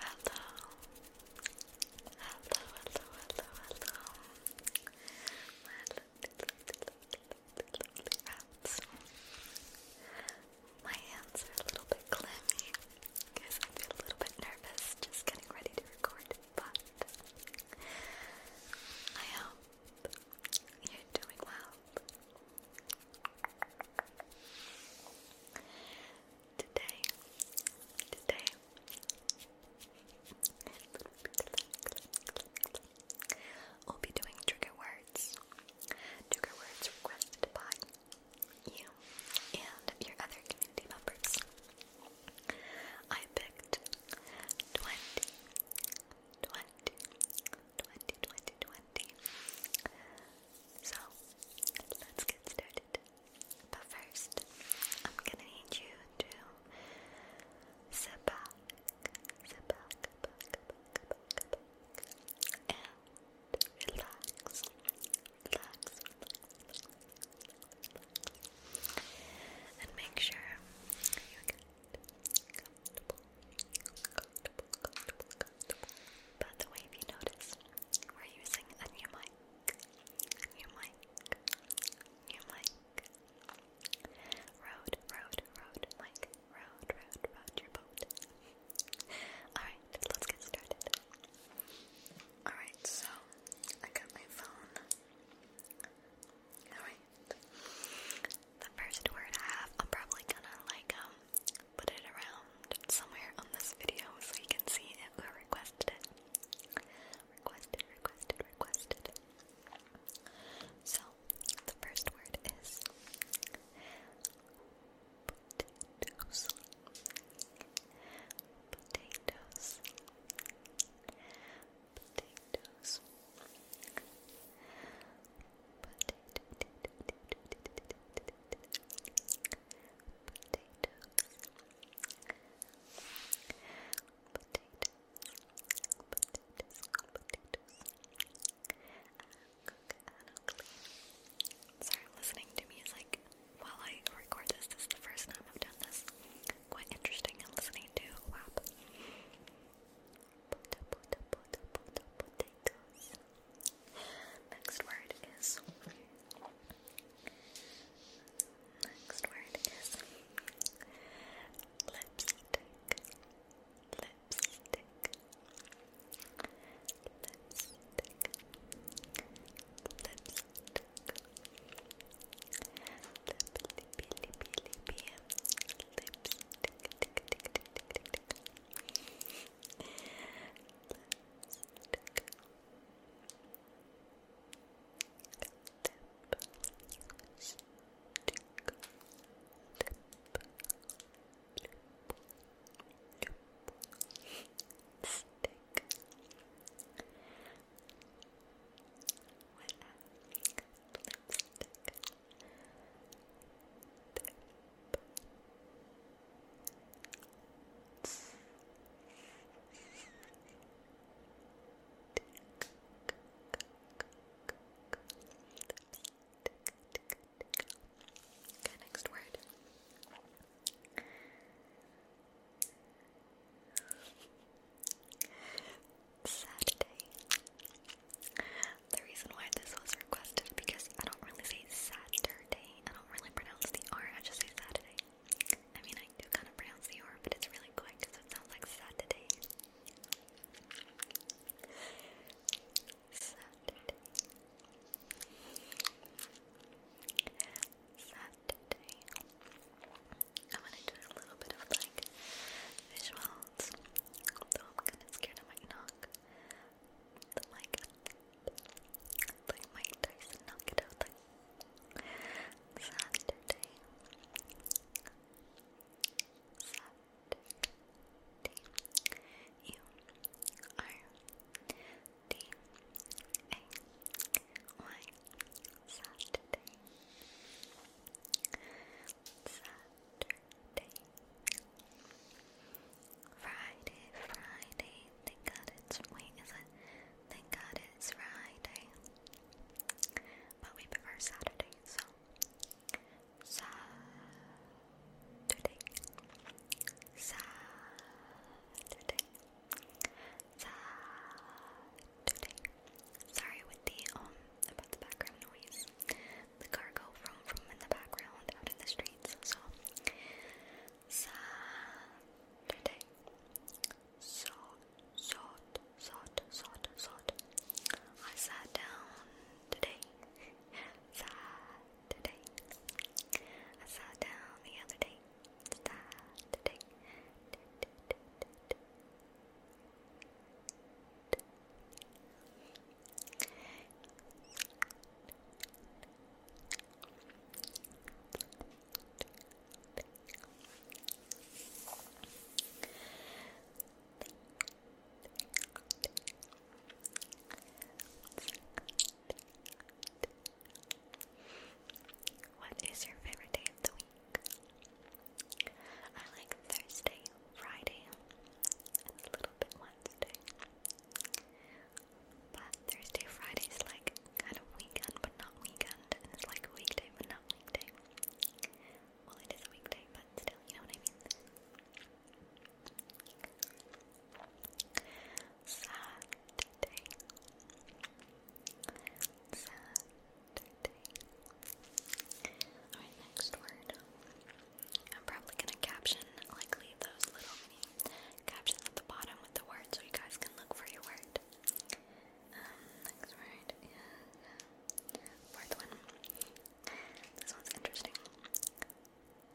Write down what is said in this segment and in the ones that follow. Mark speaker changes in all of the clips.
Speaker 1: Hello. Hello, hello, hello, hello. My lovely rats. My hands are a little bit clammy because I feel a little bit nervous just getting ready to record, but I hope you're doing well. Today, today, we'll be doing trigger words. Trigger words requested by you and your other community members. I picked 20, so, let's get started. But first, I'm gonna need you to sit back, sit back, and relax, relax, and make sure you get comfortable. By the way, if you notice, we're using a new mic, a new mic, new mic. Road, road, road, mic, road, road, road your boat. Alright, let's get started. Alright, so I got my phone. Alright. The first word I have, I'm probably gonna like um put it around somewhere on this video so you can see it who requested it. Requested, requested, requested. So, the first word is Potatoes. Potatoes. Potatoes. Sorry, listening to music while I record this. This is the first time I've done this. Quite interesting and listening to potato, potato, potato, potatoes. Next word is. Next word is lipstick. Lipstick. Lipstick. Lipstick. Lippy, lippy, lippy, lippy. Lipstick. Tick, tick, tick, tick, tick, tick. Lipstick, Okay, next word. Saturday. Saturday. The reason why this was requested because I don't really say Saturday. I don't really pronounce the R, I just say Saturday. I mean, I do kind of pronounce the R, but it's really quick because it sounds like Saturday. Saturday. Saturday. I'm gonna do a little bit of like visuals, although I'm kind of scared I might knock. It's like, it's like Mike Tyson knock it out like Saturday. Saturday. You are D A Y Saturday. Saturday. Friday, Friday, thank God it's wait, thank God it's Friday. But we prefer Saturday, so Saturday. Saturday. Saturday. Sorry with the um about the background noise. The car go vroom in the background out in the streets. So Saturday. Salt, salt, salt, salt, salt. I sat down today. Saturday. I sat down the other day. Saturday. What is your favorite day of the week? I like Thursday Friday and a little bit Wednesday. But Thursday, Friday is like kind of weekend but not weekend, and it's like weekday but not weekday. Well, it is a weekday, but you know what I mean. Saturday. Saturday. Alright, next word. I'm probably gonna caption, like leave those little captions at the bottom with the word so you guys can look for your word. Um, next word fourth one. This one's interesting.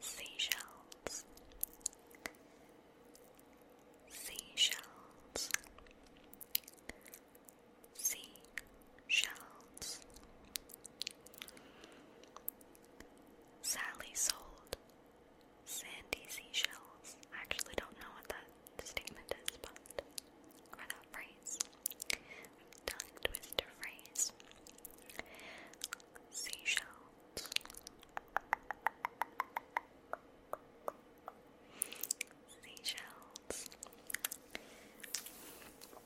Speaker 1: Seashells. Seashells. Seashells. Sally sold sandy seashells. I actually don't know what that statement is, but or that phrase. Tongue twister phrase. Seashells. Seashells.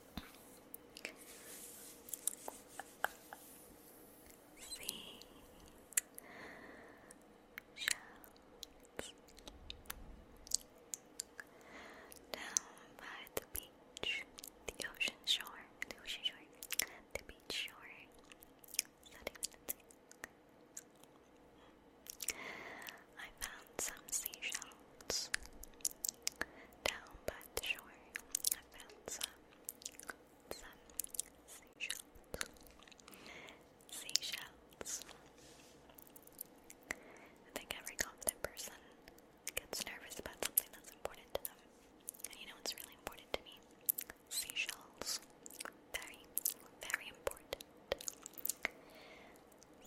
Speaker 1: See shells down by the beach, the ocean shore, the ocean shore, the beach shore. I found some seashells clouds. Down by the shore, I found some seashells. Seashells. I think every confident person gets nervous about something that's important to them. And you know what's really important to me? Seashells. Very, very important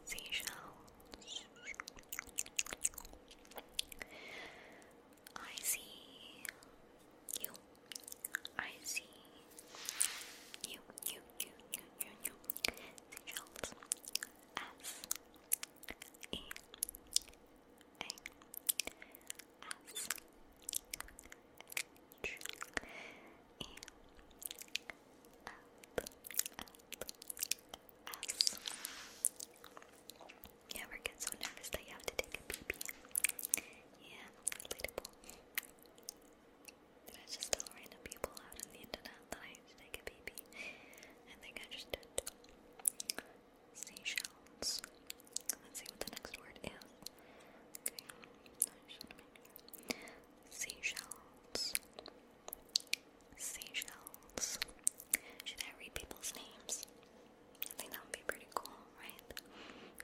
Speaker 1: seashells. I see you. I see you, you, you, you, you, you. Seashells. S E A S H E L L S. You ever get so nervous that you have to take a pee Yeah, relatable. Did I just tell random people out on the internet that I take a pee I think I just did. Seashells. Let's see what the next word is. Okay, Seashells. Seashells. Should I read people's names? I think that would be pretty cool, right?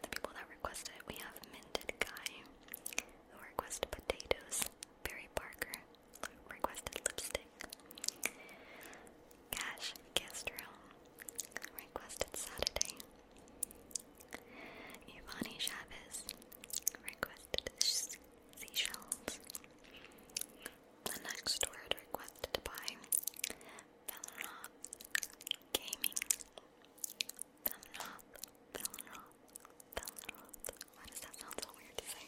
Speaker 1: The people that requested we have Minted Guy, who requested potatoes, Barry Parker, requested lipstick, Cash Castro, requested Saturday, Ivani Chavez, requested seashells. The next word requested by Velanoth Gaming. Velanoth, Velanoth, Velanoth. Why does that sound so weird to say?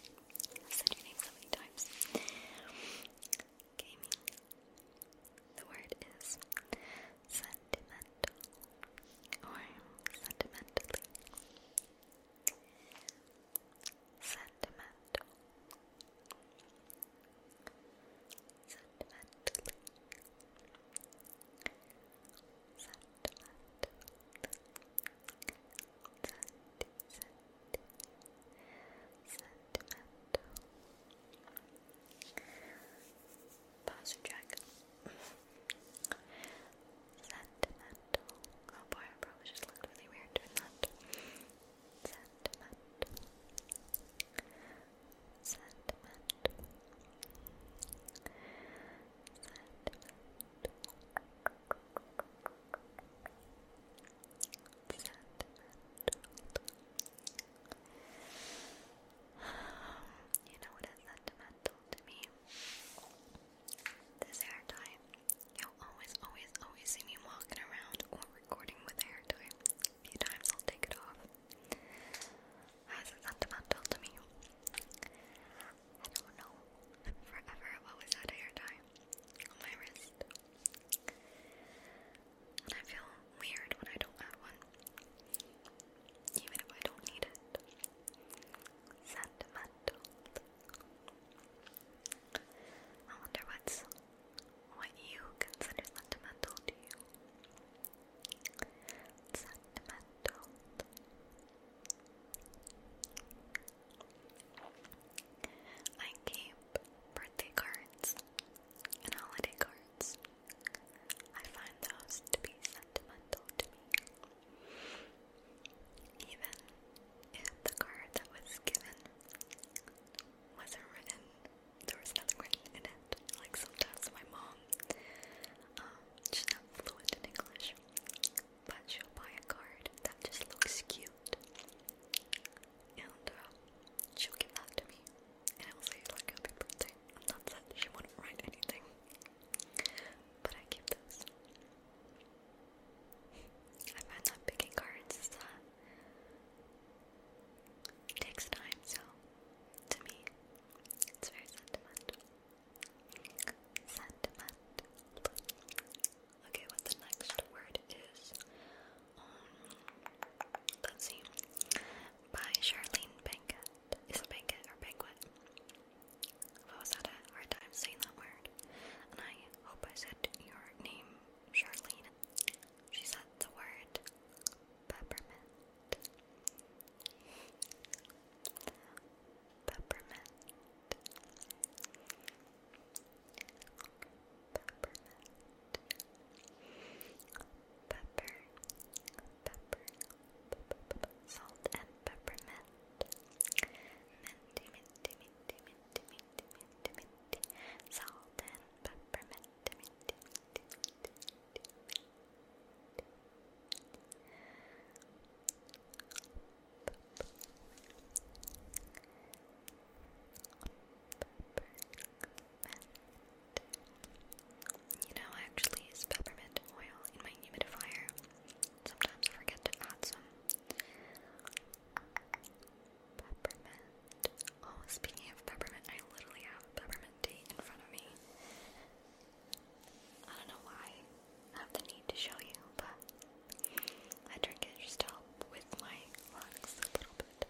Speaker 1: said your name so many times. Gaming. The word is sentimental or sentimentally. Sentimental. Sentimental. Sentimental. Sentimental. Pause or track. Sentimental. Oh boy, I probably just looked really weird doing that. Sentimental. Sentimental. Sentimental. Sentimental. You know what is sentimental to me? This hair tie. You'll always, always, always see me walking around or recording with a hair tie. A few times I'll take it off. Has it something about me? I don't know. Forever i always had a hair tie on my wrist. And I feel weird when I don't have one. Even if I don't need it. Sentimental. I wonder what's what you consider sentimental to you. Sentimental. I keep birthday cards and holiday cards. I find those to be sentimental to me. Even if the card that was given wasn't written, there was nothing written in it. Like sometimes my mom, um, she's not fluent in English, but she'll buy a card that just looks cute. And uh, she'll give that to me. And I will say, like, happy birthday. And that's it. She wouldn't write anything. But I give those. I find that picking cards uh, takes time, so to me, it's very sentimental. Sentimental. Okay, what the next word is? Um, let's see. By Charlene Pinkett is a banquet or banquet. I was had a hard time saying that word, and I hope I said your name, Charlene. She said the word peppermint. Peppermint. Peppermint. Pepper. Salt and peppermint mint, minty, minty, minty, minty, minty, minty, minty, salt and peppermint, minty, minty, minty, minty, minty, minty. You know, I actually use peppermint oil in my humidifier. Sometimes I forget to add some peppermint. Oh, speaking of peppermint, I literally have peppermint tea in front of me. I don't know why I have the need to show you, but I drink it just to help with my lungs a little bit.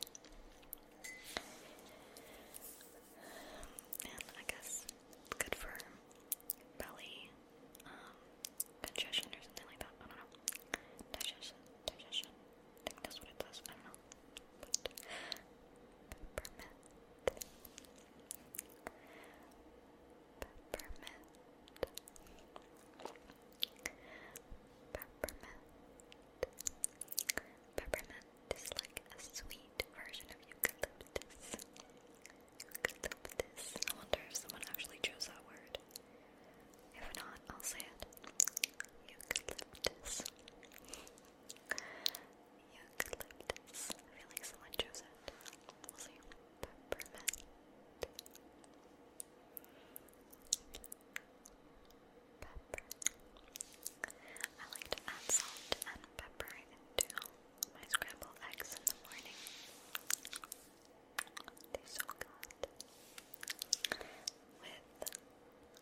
Speaker 1: And I guess good for belly um, congestion or something like that. I don't know. Digestion, digestion. I think that's what it does. I don't know. peppermint, peppermint, peppermint. Peppermint is like a sweet version of eucalyptus. Glyptis. I wonder if someone actually chose that word. If not, I'll say it. Eucalyptus. Eucalyptus. I feel like someone chose it. We'll see. Pepper. I like to add salt and pepper into my scrambled eggs in the morning. They're so good. With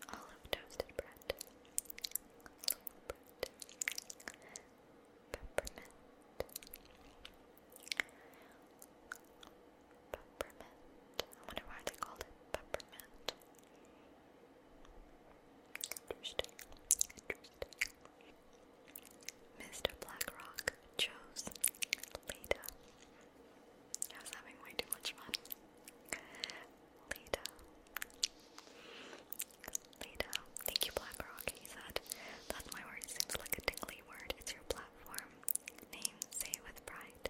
Speaker 1: olive toasted bread, loaf bread, peppermint, peppermint. I wonder why they called it peppermint. Interesting. Interesting. Mr. Blackrock chose Leda. I was having way too much fun. Leda. Leda. Thank you, Blackrock, he said. That's my word. Seems like a tingly word. It's your platform. Name, say it with pride.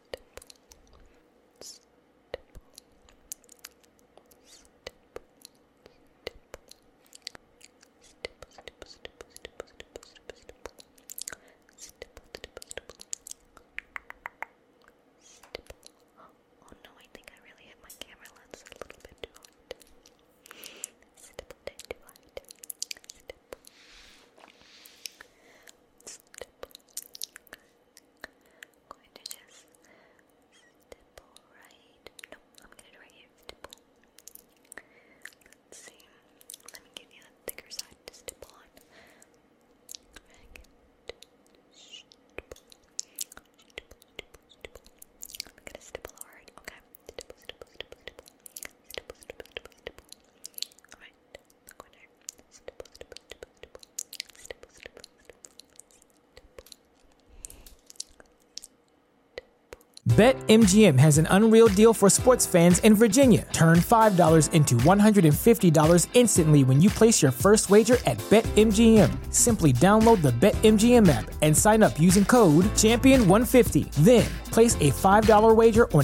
Speaker 1: stipple, stipple, Oh no, I think I really hit my camera lens a little bit I'm going to just stipple right. I'm gonna do here. Stipple. see. Let me give you a thicker side to stipple on. I'm gonna stipple hard. Okay. Alright. BetMGM has an unreal deal for sports fans in Virginia. Turn $5 into $150 instantly when you place your first wager at BetMGM. Simply download the BetMGM app and sign up using code Champion150. Then place a $5 wager on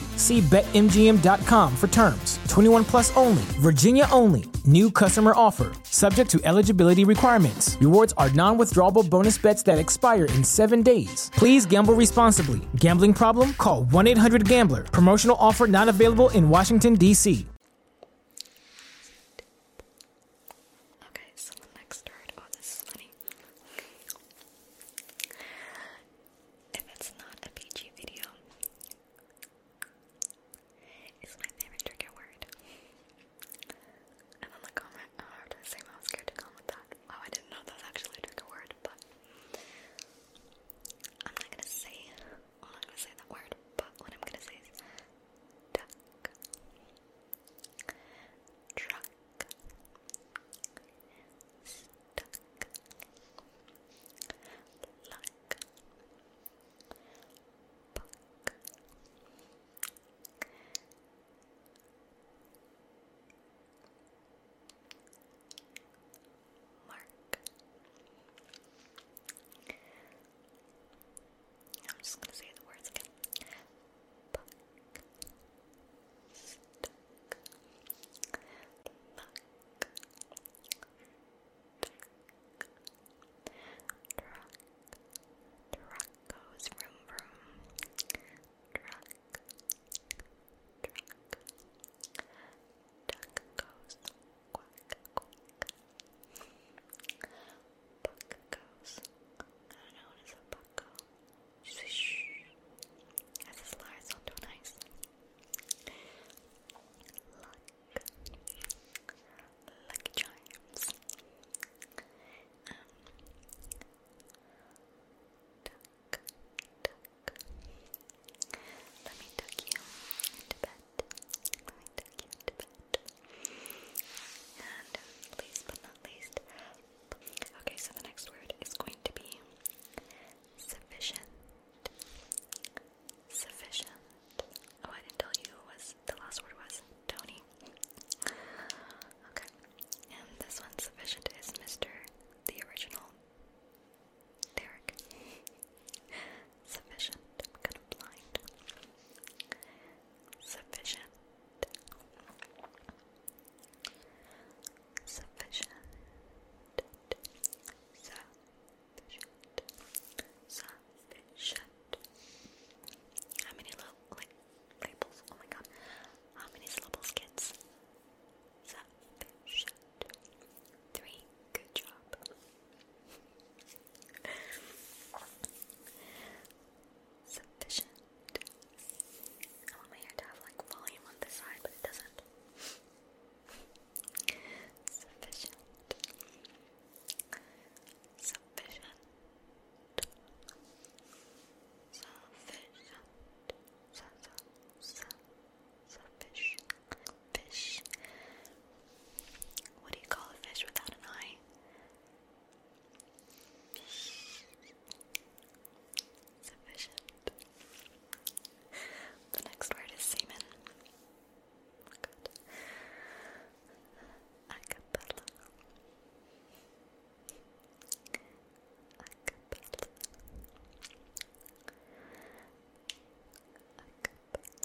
Speaker 1: See BetMGM.com for terms. 21 plus only, Virginia only. New customer offer, subject to eligibility requirements. Rewards are non withdrawable bonus bets that expire in seven days. Please gamble responsibly. Gambling problem? Call 1 800 Gambler. Promotional offer not available in Washington, D.C. Okay, so next word. Oh, this is funny if it's not a PG video, it's my favorite trigger word. And then the comment, oh, I was I was scared to comment that. Wow, oh, I didn't know that was actually a trigger word, but I'm not gonna say, I'm not gonna say that word, but what I'm gonna say is truck, duck luck buck mark I'm just going to say the words again buck truck goes vroom vroom truck truck duck goes quack quack buck goes I don't know what is a buck go Swish. That's a slur, so nice. Luck. Lucky Charms. Um, tuck, Let me take you into bed. Let me tuck you into bed. And uh, last but not least, okay, so the next word is going to be sufficient, sufficient. Oh, I didn't tell you was the last word was Tony. Okay, and this one sufficient is Mister, the original Derek. sufficient. kind of blind. Sufficient sufficient sufficient sufficient how many little labels oh my god how many syllables kids sufficient three good job sufficient I want my hair to have like volume on this side, but it doesn't. Sufficient. Sufficient. Sufficient. Su su su What do you call a fish without an eye? sufficient. The next word is semen. Good. Acapella. Acapella. Acapella. Acapella. Acapella.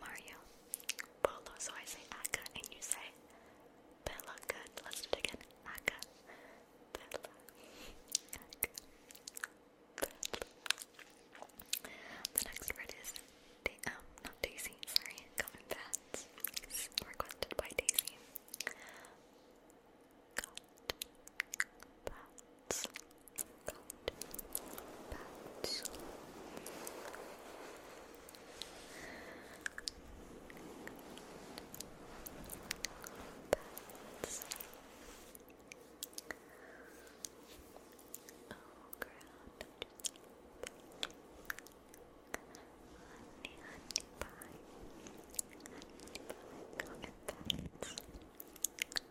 Speaker 1: Mario, Polo, so I say Akka and you say Bella, good. Let's do it again. Akka, The next word is, da um, not Daisy, sorry, Common Bats. It's requested by Daisy got bats. Bats. Oh, ground. Honey, honey pie. Honey pie. Got bats.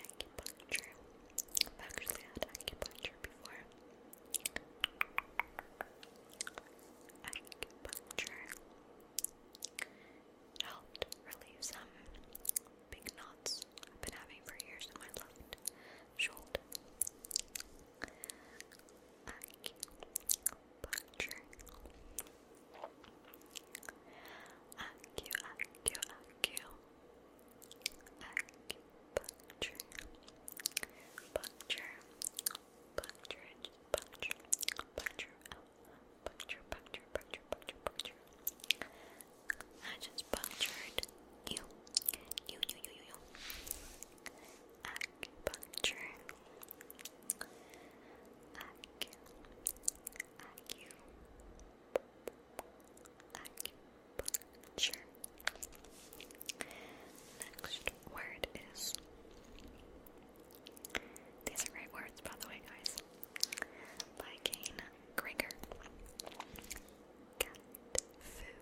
Speaker 1: acupuncture. I've actually had acupuncture before. Acupuncture helped relieve some big knots I've been having for years in my left shoulder. Acu acupuncture. Acu, acu, acu. Acupuncture. Puncture. Puncture, puncture, puncture, puncture, puncture, puncture, puncture, puncture. I just punctured you. You, you, you, you, you. Acupuncture. Aqui, aqui, acupuncture. Next word is. These are great words, by the way, guys. By Kane Cat food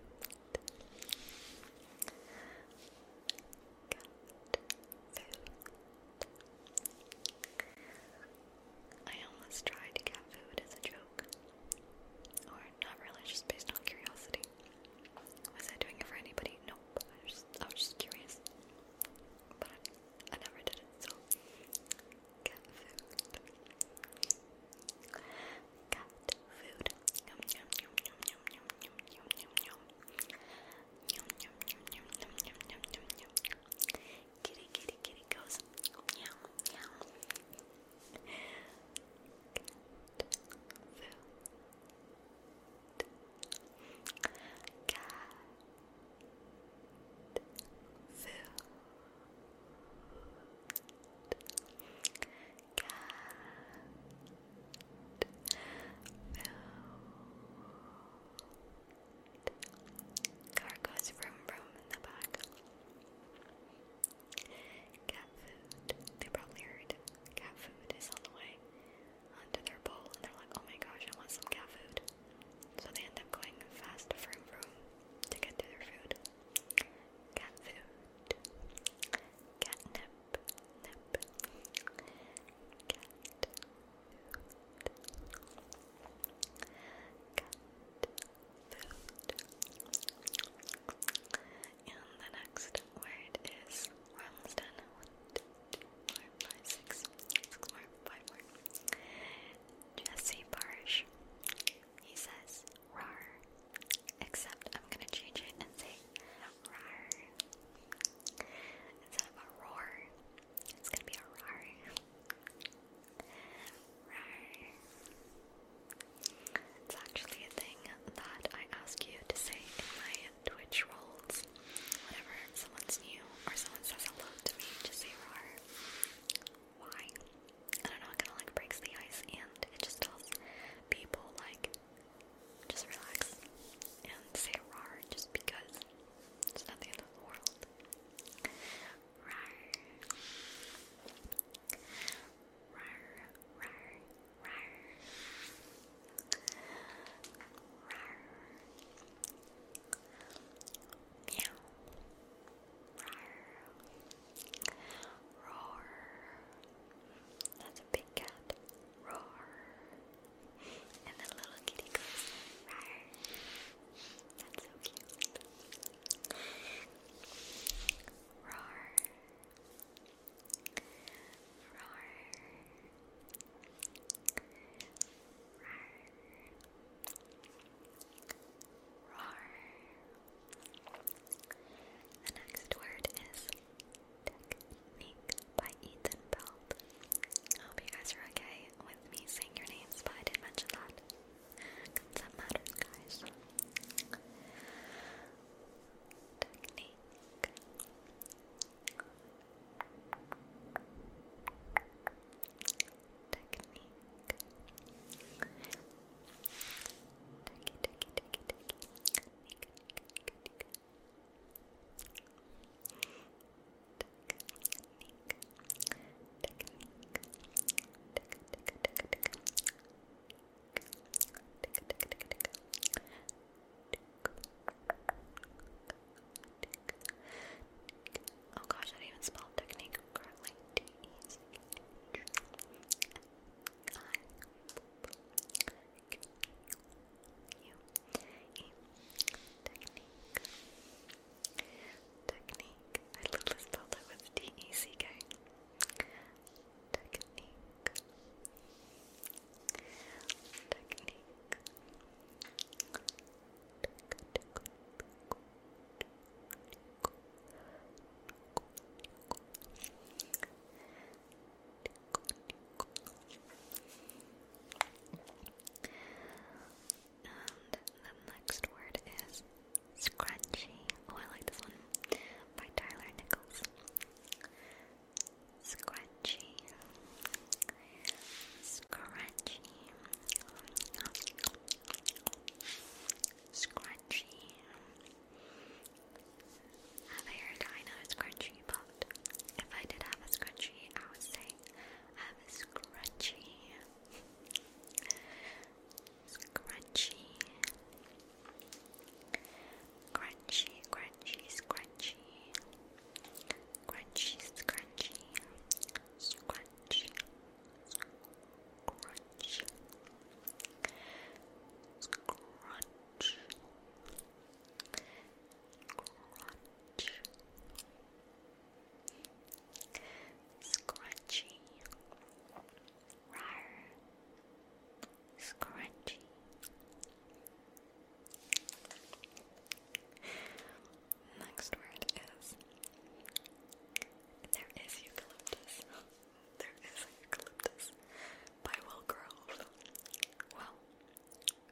Speaker 1: cat food. I almost tried cat food as a joke. Or not really, just based on curiosity. Was I doing it for anybody? Nope. I was just, curious. But I, never did it, so cat food. Cat food. Kitty, kitty, kitty goes Car goes vroom in the back. Cat food. They probably heard cat food is on the way onto their bowl and they're like, oh my gosh, I want some cat food. So they end up going fast vroom vroom to get to their food. Cat food. Cat Nip cat food cat food and the next word is we're almost done one, two, three, four, five, six, six more, five more Jesse Barsh he says rar except I'm gonna change it and say Instead of a roar, it's gonna be a rar. It's actually a thing that I ask you to say in my Twitch rolls. Whenever someone's new or someone says hello to me, just say rar. Why? I don't know, it kinda like breaks the ice and it just tells people like just relax and say rar just because it's not the end of the world. Rar. Rar, rar, rar. Rar. Roar. That's a big cat. Roar. And the little kitty goes, Rar. That's so cute. Roar. Roar. Rar. Roar. The next word is Tech by Ethan Belt. I hope you guys are okay with me saying your names, but I did mention that. Because that matters, guys. Oh gosh, I didn't spell technique correctly you technique. Technique. I literally spelled it with T E C K. Technique. Technique. Technique. And the next word is scrunchy. Oh, I like this one by Tyler Nichols. Scrunchy. Scrunchy. Scrunchy. Have I heard I know it's crunchy, but if I did have a scrunchie, I would say have a scrunchie. Scrunchy. Crunchy, crunchy, scrunchy. Crunchy, scrunchy. Scrunchy. Scrunch. Crunch. Scrunchy. Rar. Scrunchy. Next word is there is eucalyptus. There is eucalyptus by Will Grove. Well,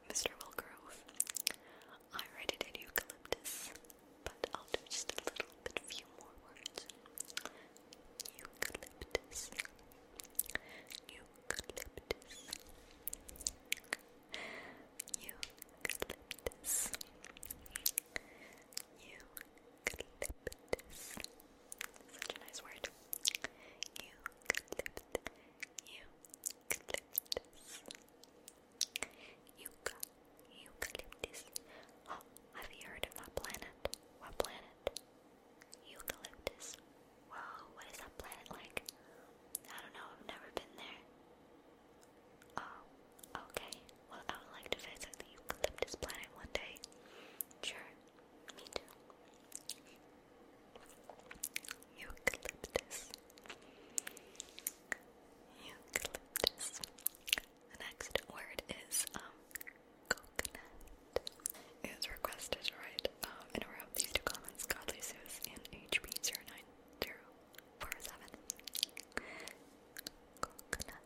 Speaker 1: Mr. Will Grove, I read it in eucalyptus, but I'll do just a little few more words. Eucalyptus. Eucalyptus. Eucalyptus. Eucalyptus. Such a nice word. Eucalyptus clipped. You clipped. eucalyptus. Oh, have you heard of that planet? What planet? Eucalyptus. Whoa, what is that planet like? I don't know, I've never been there. Oh, okay. Well, I would like to visit the eucalyptus planet one day. Sure, me too. Eucalyptus. Eucalyptus. The next word is um, coconut. It is requested to write um, in a of these two comments, Godly Zeus and HB09047. Coconut.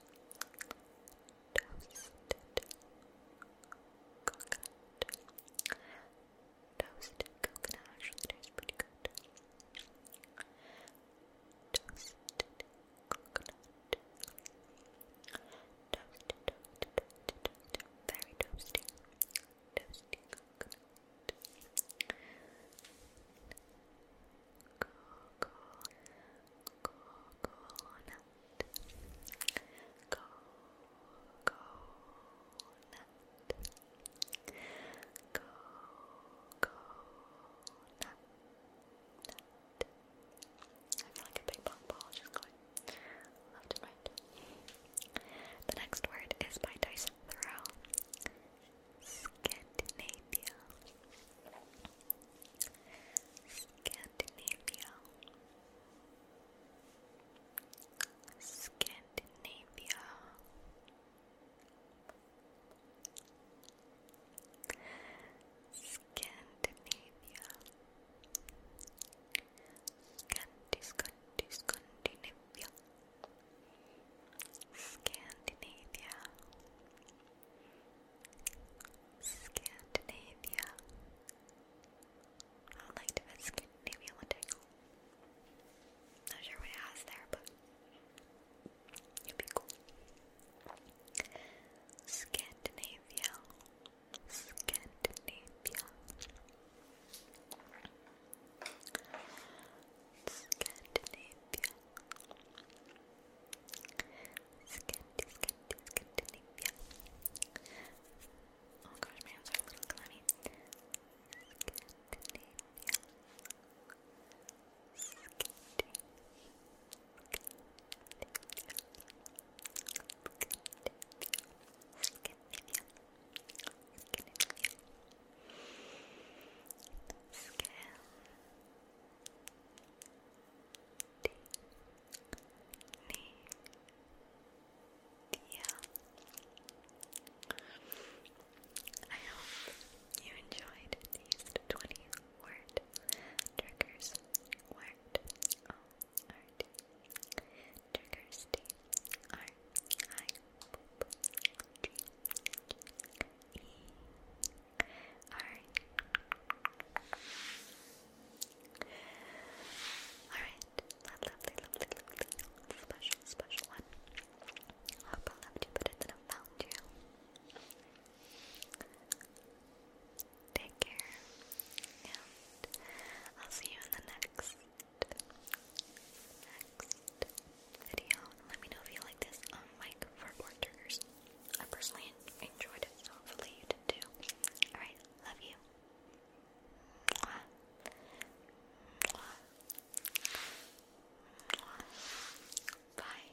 Speaker 1: Toasted coconut. Toasted coconut actually tastes Toasted coconut. Toasted, toasted, toasted, toasted. Very toasty. Toasty coconut coconut I feel like a big ball just going left and right. The next word is by Dyson Thoreau. Scandinavia. Scandinavia. Scandinavia. Scandinavia. Scandi, Scandi, Scandinavia. Scandinavia. Scandinavia. I would like to visit Scandinavia one day. Not sure what it has there, but it'd be cool. Scandinavia. Scandinavia. Scandinavia. Scanty, scanty, Scandinavia. Oh gosh, my hands are a little clammy. Scandinavia. Scanty. Scandinavia. Scandinavia. Scandinavia. Scandinavia. I hope you enjoyed these 20 word triggers. Word O R D. Triggers D R I G E Alright. Alright. Lovely, lovely, lovely. Special, special one. I'll probably have to put it in a found you. Take care. And I'll see you in the next. Next video. Let me know if you like this um, mic for triggers. I personally enjoyed it, hopefully you did too. Alright, love you. Bye.